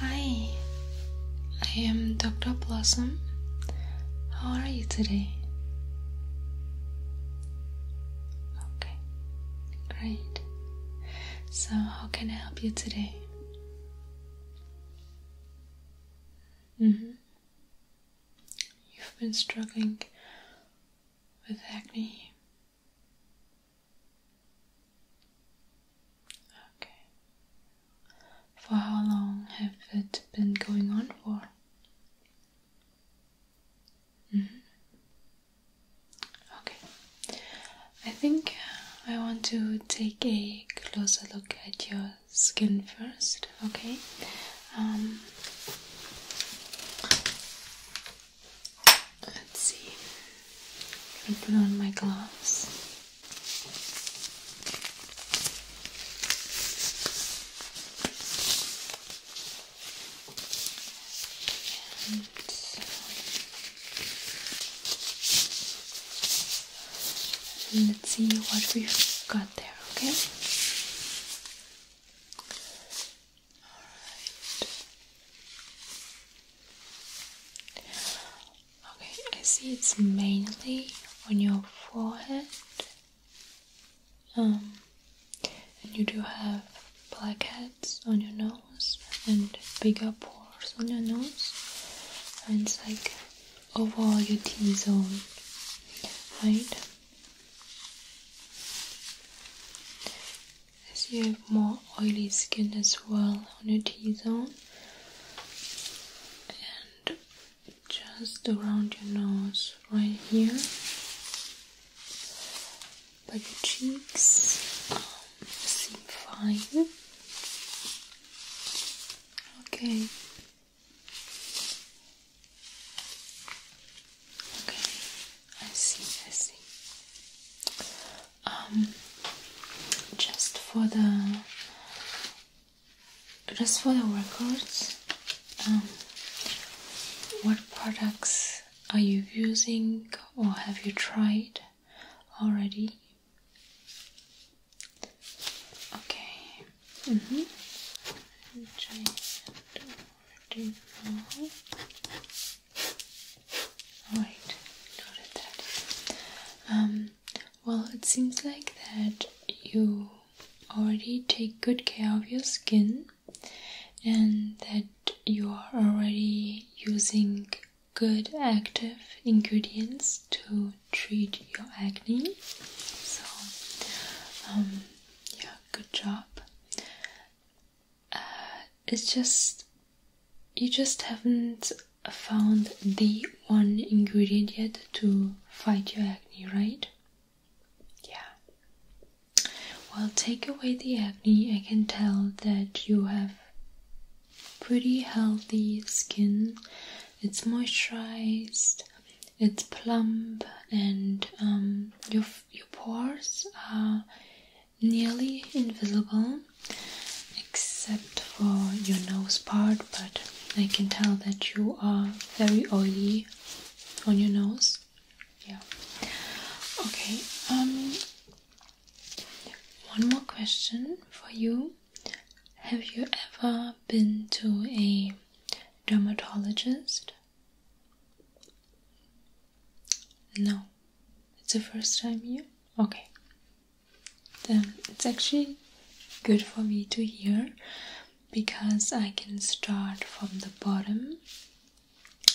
Hi, I am Dr. Blossom. How are you today? Okay. Great. So, how can I help you today? Mm-hmm. You've been struggling with acne. Okay. For how long have it been going on for? Mm-hmm. Okay, I think I want to take a closer look at your skin first, okay? Um, let's see, i put on my gloves. Uh, let's see what we've got there, okay? Alright. Okay, I see it's mainly on your forehead um, and you do have blackheads on your nose and bigger pores on your nose. And it's like over your T zone, right? As you have more oily skin as well on your T zone and just around your nose, right here but your cheeks um, seem fine. Okay. Okay, I see, I see. Um, just for the, just for the records, um, what products are you using or have you tried already? Okay. Mm -hmm. Which I don't already know. Alright, noted that. Um, well, it seems like that you already take good care of your skin and that you are already using good active ingredients to treat your acne. So, um, yeah, good job. Uh, it's just you just haven't found the one ingredient yet to fight your acne, right? Yeah. Well, take away the acne. I can tell that you have pretty healthy skin. It's moisturized, it's plump, and um, your your pores are nearly invisible, except for your nose part. But I can tell that you are very oily on your nose. Yeah. Okay. Um, one more question for you. Have you ever been to a dermatologist? No. It's the first time here? Okay. Then it's actually good for me to hear because I can start from the bottom.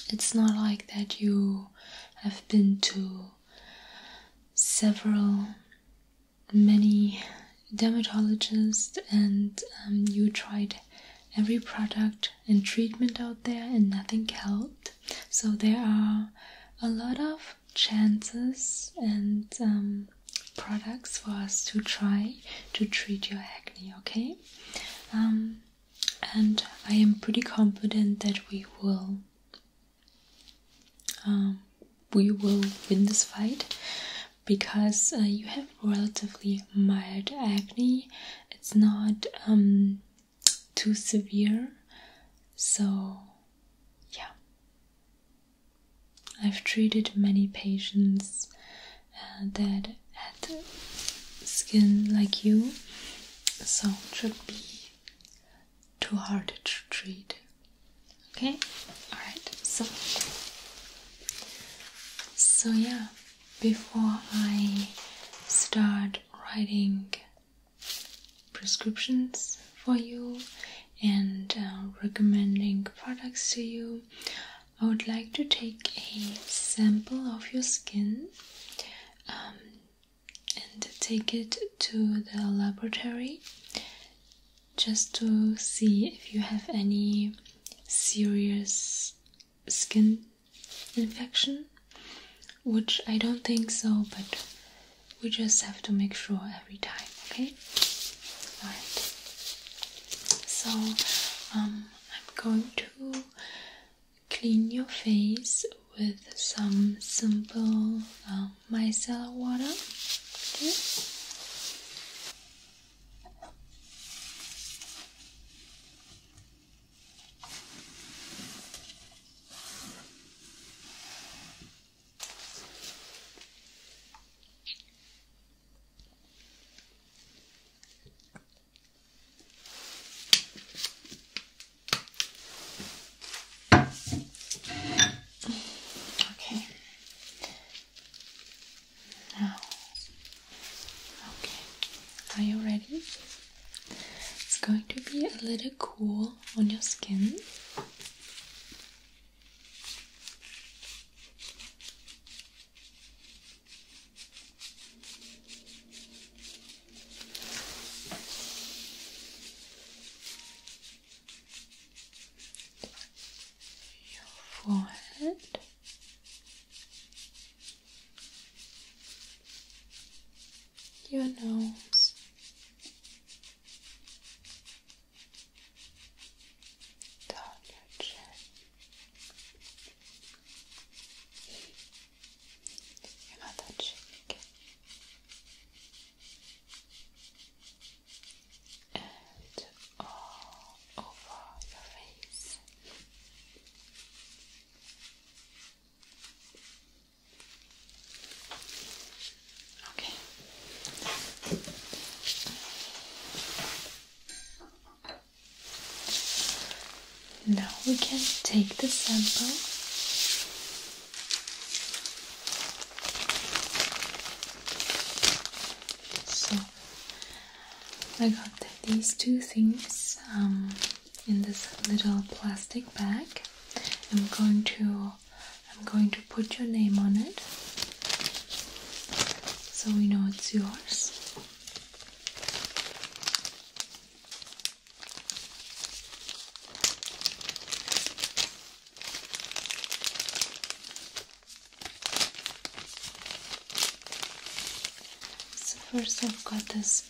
It's not like that you have been to several, many dermatologists and um, you tried every product and treatment out there and nothing helped. So there are a lot of chances and um, products for us to try to treat your acne, okay? Um, and I am pretty confident that we will um, we will win this fight because uh, you have relatively mild acne. It's not um, too severe, so yeah. I've treated many patients uh, that had skin like you, so it should be too hard to treat. Okay, all right. So, so yeah. Before I start writing prescriptions for you and uh, recommending products to you, I would like to take a sample of your skin um, and take it to the laboratory just to see if you have any serious skin infection, which I don't think so, but we just have to make sure every time, okay? Alright. So um, I'm going to clean your face with some simple um, micellar water. Okay. Now, okay, are you ready? It's going to be a little cool on your skin. Your forehead. Your nose, down your chin, about that cheek and all over your face. Okay. Now we can take the sample. So I got these two things um, in this little plastic bag. I'm going to I'm going to put your name on it so we know it's yours. So, first, I've got this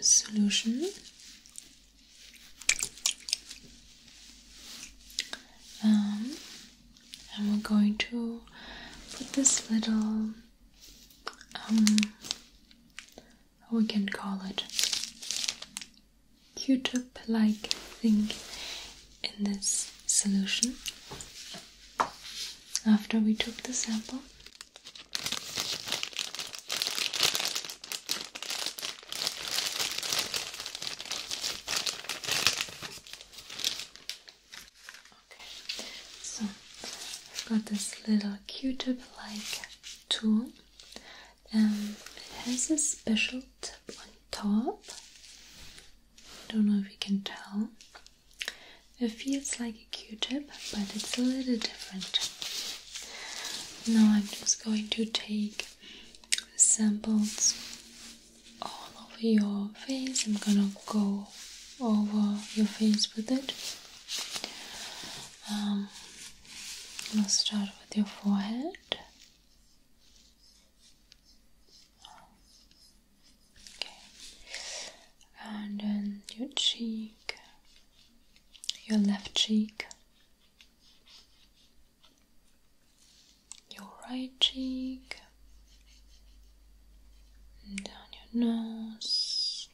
solution. Um, and we're going to put this little um we can call it q like thing in this solution after we took the sample Okay, so I've got this little Q-tip-like tool, and it has a special tip on top. I don't know if you can tell. It feels like a Q-tip, but it's a little different. Now I'm just going to take samples all over your face. I'm gonna go over your face with it. Um, I'm gonna start with your forehead. Okay, and then your cheek, your left cheek your right cheek, down your nose,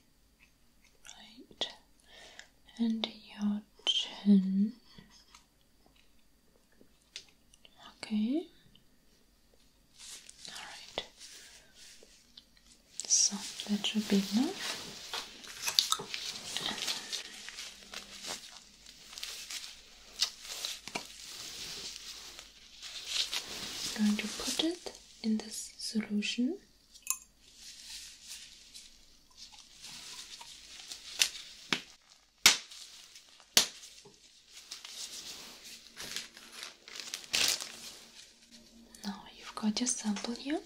right, and your chin. Okay. All right. So that should be enough. I'm going to put it in this solution. Now you've got your sample here.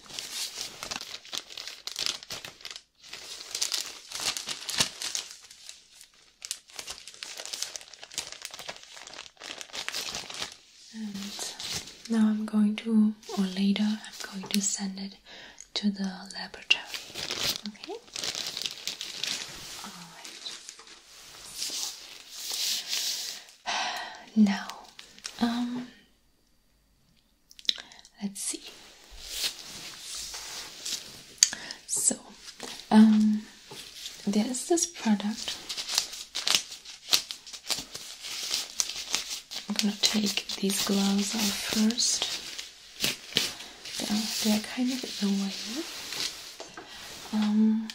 And now I'm going to, or later, I'm going to send it to the laboratory. Okay? Alright. Now, um, let's see. So, um, there is this product. I'm gonna take these gloves off first. They are, kind of in um,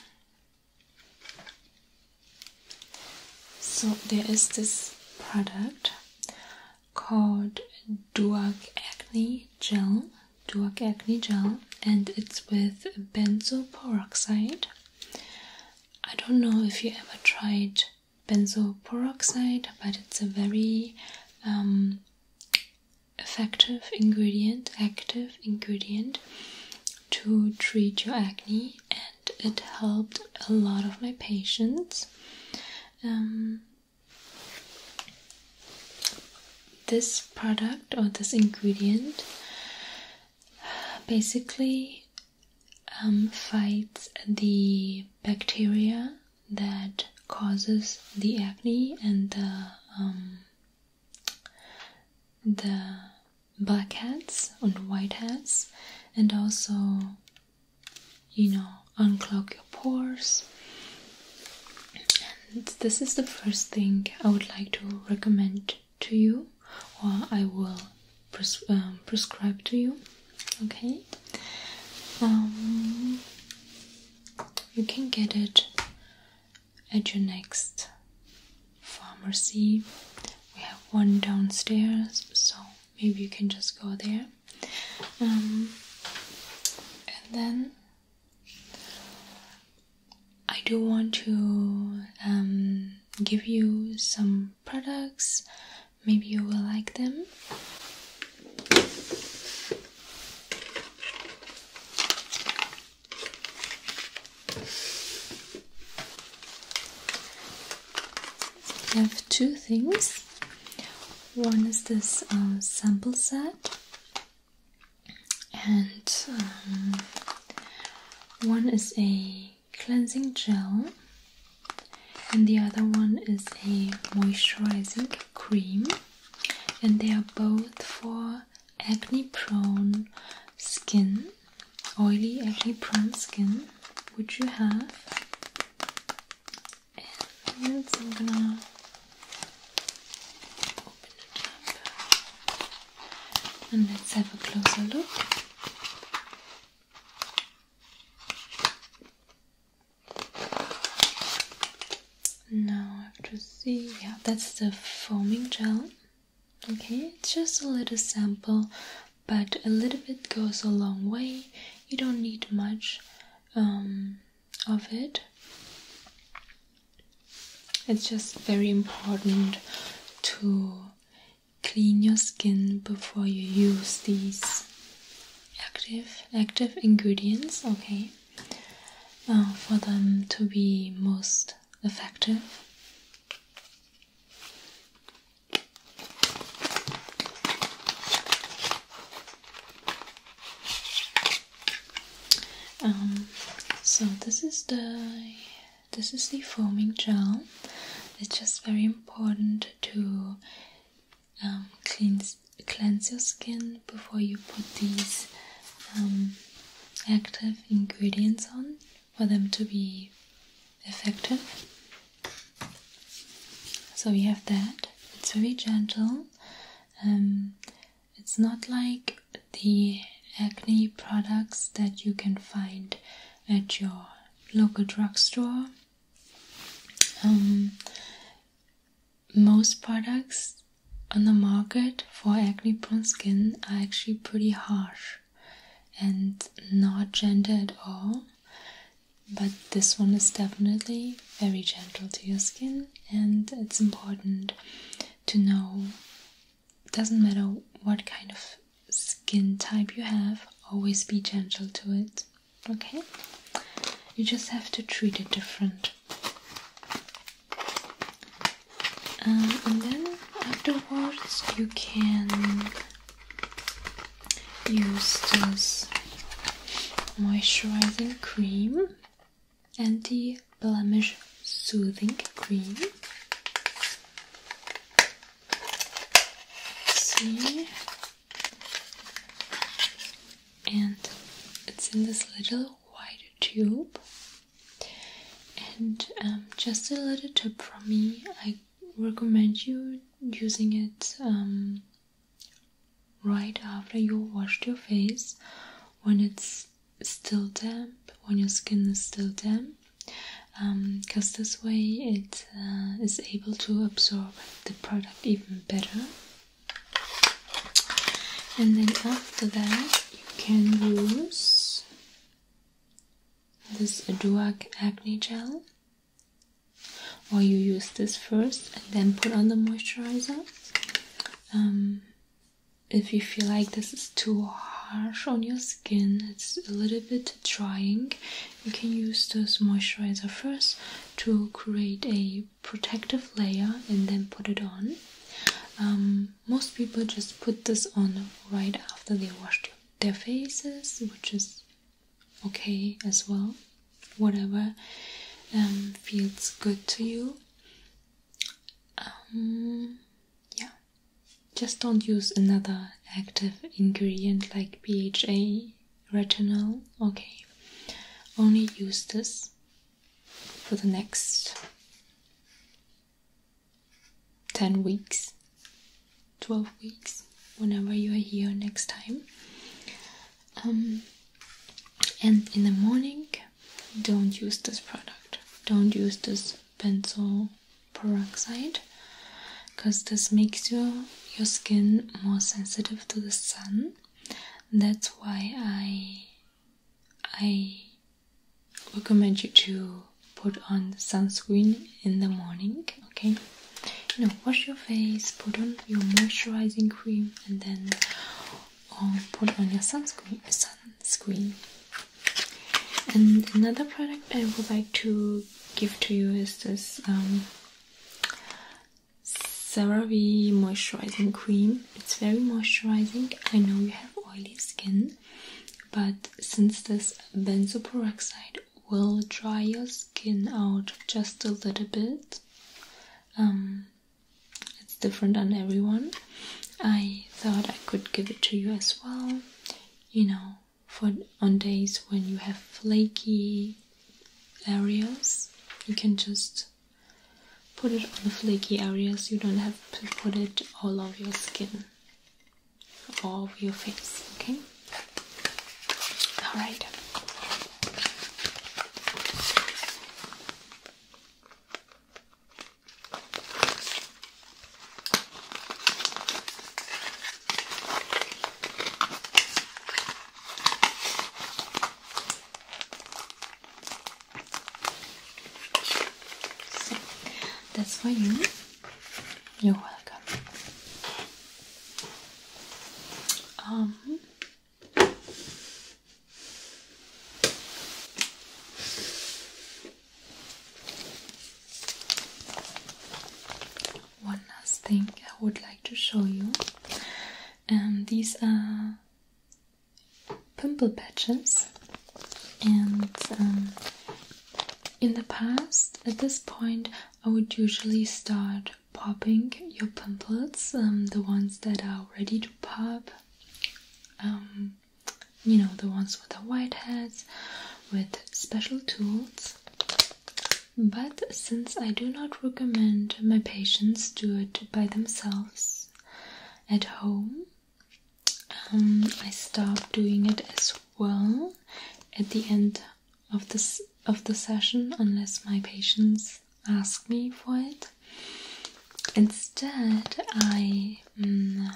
so there is this product called Duac Acne Gel. Duac Acne Gel, and it's with benzoyl peroxide. I don't know if you ever tried benzoyl peroxide, but it's a very um, effective ingredient, active ingredient to treat your acne, and it helped a lot of my patients. Um, this product or this ingredient basically um, fights the bacteria that causes the acne and the um, the blackheads and whiteheads and also you know, unclog your pores. And this is the first thing I would like to recommend to you, or I will um, prescribe to you. Okay, um, you can get it at your next pharmacy. We have one downstairs, so maybe you can just go there. Um, and then I do want to um, give you some products. Maybe you will like them. I have two things. One is this um, sample set, and um, one is a cleansing gel, and the other one is a moisturizing cream, and they are both for acne prone skin, oily acne prone skin, Would you have in minutes. i open it up and let's have a closer look. Now I have to see. Yeah, that's the foaming gel. Okay, it's just a little sample, but a little bit goes a long way. You don't need much. Um, of it. It's just very important to clean your skin before you use these active active ingredients, okay? Uh, for them to be most effective. Um, so this is the this is the foaming gel. It's just very important to um, cleanse your skin before you put these um, active ingredients on for them to be effective. So we have that. It's very gentle. Um, it's not like the acne products that you can find at your local drugstore. Um, most products on the market for acne prone skin are actually pretty harsh and not gentle at all. But this one is definitely very gentle to your skin, and it's important to know doesn't matter what kind of skin type you have, always be gentle to it. Okay? You just have to treat it different. Um, and then afterwards, you can use this moisturizing cream anti blemish soothing cream see and it's in this little white tube and um, just a little tip from me i recommend you using it um, right after you washed your face when it's still damp, when your skin is still damp, because um, this way it uh, is able to absorb the product even better. And then after that, you can use this Duac Acne Gel or you use this first and then put on the moisturizer. Um, if you feel like this is too harsh on your skin, it's a little bit drying, you can use this moisturizer first to create a protective layer and then put it on. Um, most people just put this on right after they wash their faces, which is okay as well. Whatever um, feels good to you. Um, yeah, just don't use another active ingredient like BHA retinol. Okay, only use this for the next 10 weeks, 12 weeks, whenever you are here next time. Um, and in the morning, don't use this product. Don't use this benzoyl peroxide, because this makes your your skin more sensitive to the sun. That's why I I recommend you to put on sunscreen in the morning okay? you know, wash your face, put on your moisturizing cream, and then um, put on your sunscreen. Sunscreen. And another product I would like to give to you is this um, CeraVe moisturizing cream. It's very moisturizing. I know you have oily skin, but since this benzoyl peroxide will dry your skin out just a little bit. Um, it's different on everyone. I thought I could give it to you as well. You know, for on days when you have flaky areas, you can just put it on the flaky areas. You don't have to put it all over your skin or your face. Okay. All right. that's for you. You're welcome. Um, one last thing I would like to show you, and um, these are pimple patches, and um, in the past, at this point, I would usually start popping your pumplots, um, the ones that are ready to pop. Um, you know, the ones with the white heads, with special tools. But since I do not recommend my patients do it by themselves at home, um, I stopped doing it as well at the end of this of the session unless my patients ask me for it. Instead, I mm,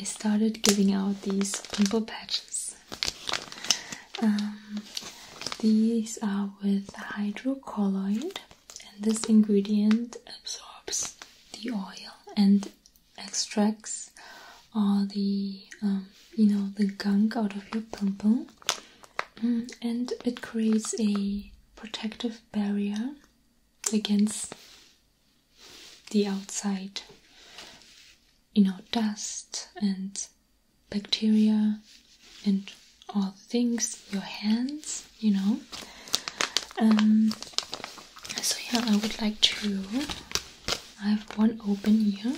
I started giving out these pimple patches. Um, these are with hydrocolloid, and this ingredient absorbs the oil and extracts excess all the um, you know the gunk out of your pimple mm, and it creates a protective barrier against the outside you know dust and bacteria and all things your hands you know um, so yeah i would like to I have one open here.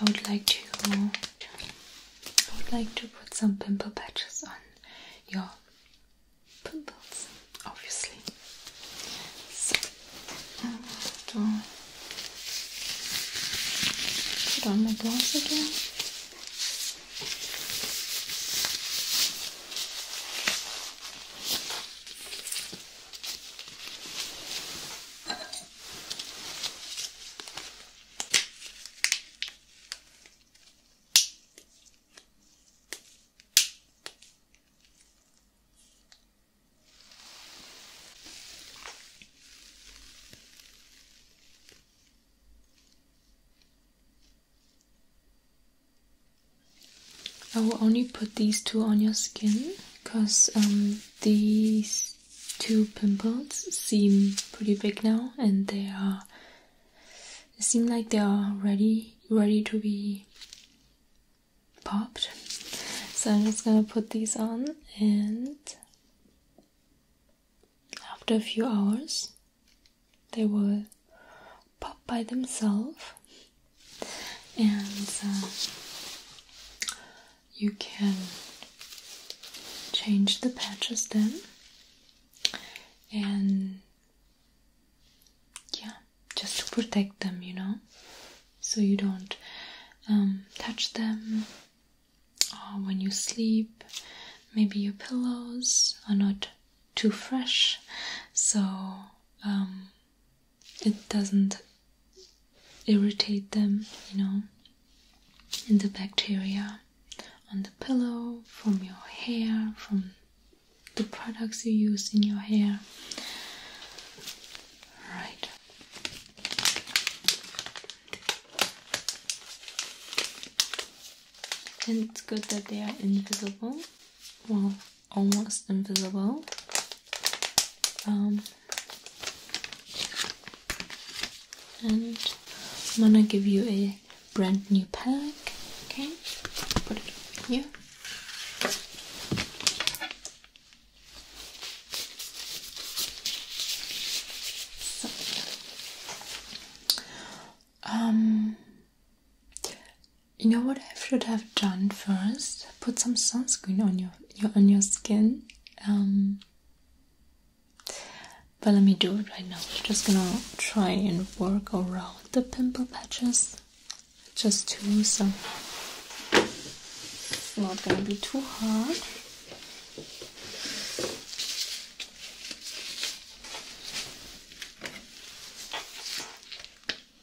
I would like to I would like to put some pimple patches on your pimples, obviously. So put on my gloves again. I will only put these two on your skin because um, these two pimples seem pretty big now and they are It seems like they are ready ready to be popped so I'm just gonna put these on and after a few hours they will pop by themselves and uh, you can change the patches then and yeah just to protect them you know so you don't um, touch them when you sleep maybe your pillows are not too fresh so um, it doesn't irritate them, you know. And the bacteria on the pillow, from your hair, from the products you use in your hair. Right. And it's good that they are invisible. Well, almost invisible. Um, and I'm gonna give you a brand new pack. Okay, put it over here. um, you know what I should have done first? Put some sunscreen on your your on your skin. Um, but let me do it right now. I'm just gonna try and work around the pimple patches, just to so it's not gonna be too hard.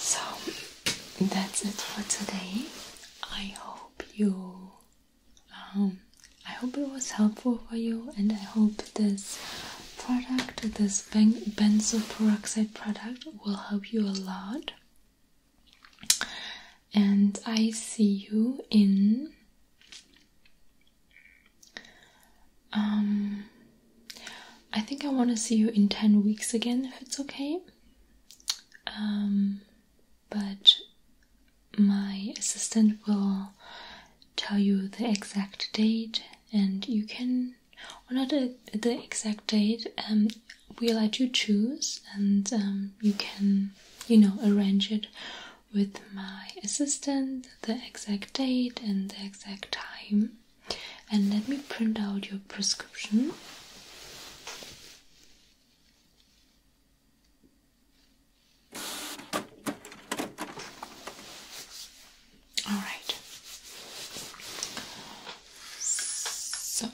So that's it for today. I hope you um, I hope it was helpful for you and I hope this product, this ben benzoyl peroxide product will help you a lot. And I see you in um, I think I want to see you in 10 weeks again if it's okay. Um, but my assistant will tell you the exact date, and you can, or not a, the exact date, um, we let you choose, and um, you can, you know, arrange it with my assistant, the exact date, and the exact time and let me print out your prescription. All right. So.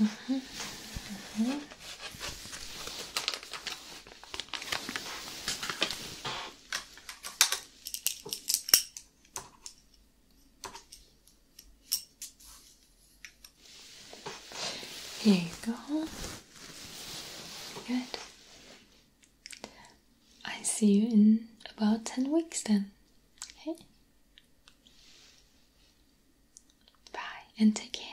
Mm-hmm. Mm-hmm. Here you go. Good. I see you in about 10 weeks then. Okay? Bye and take care.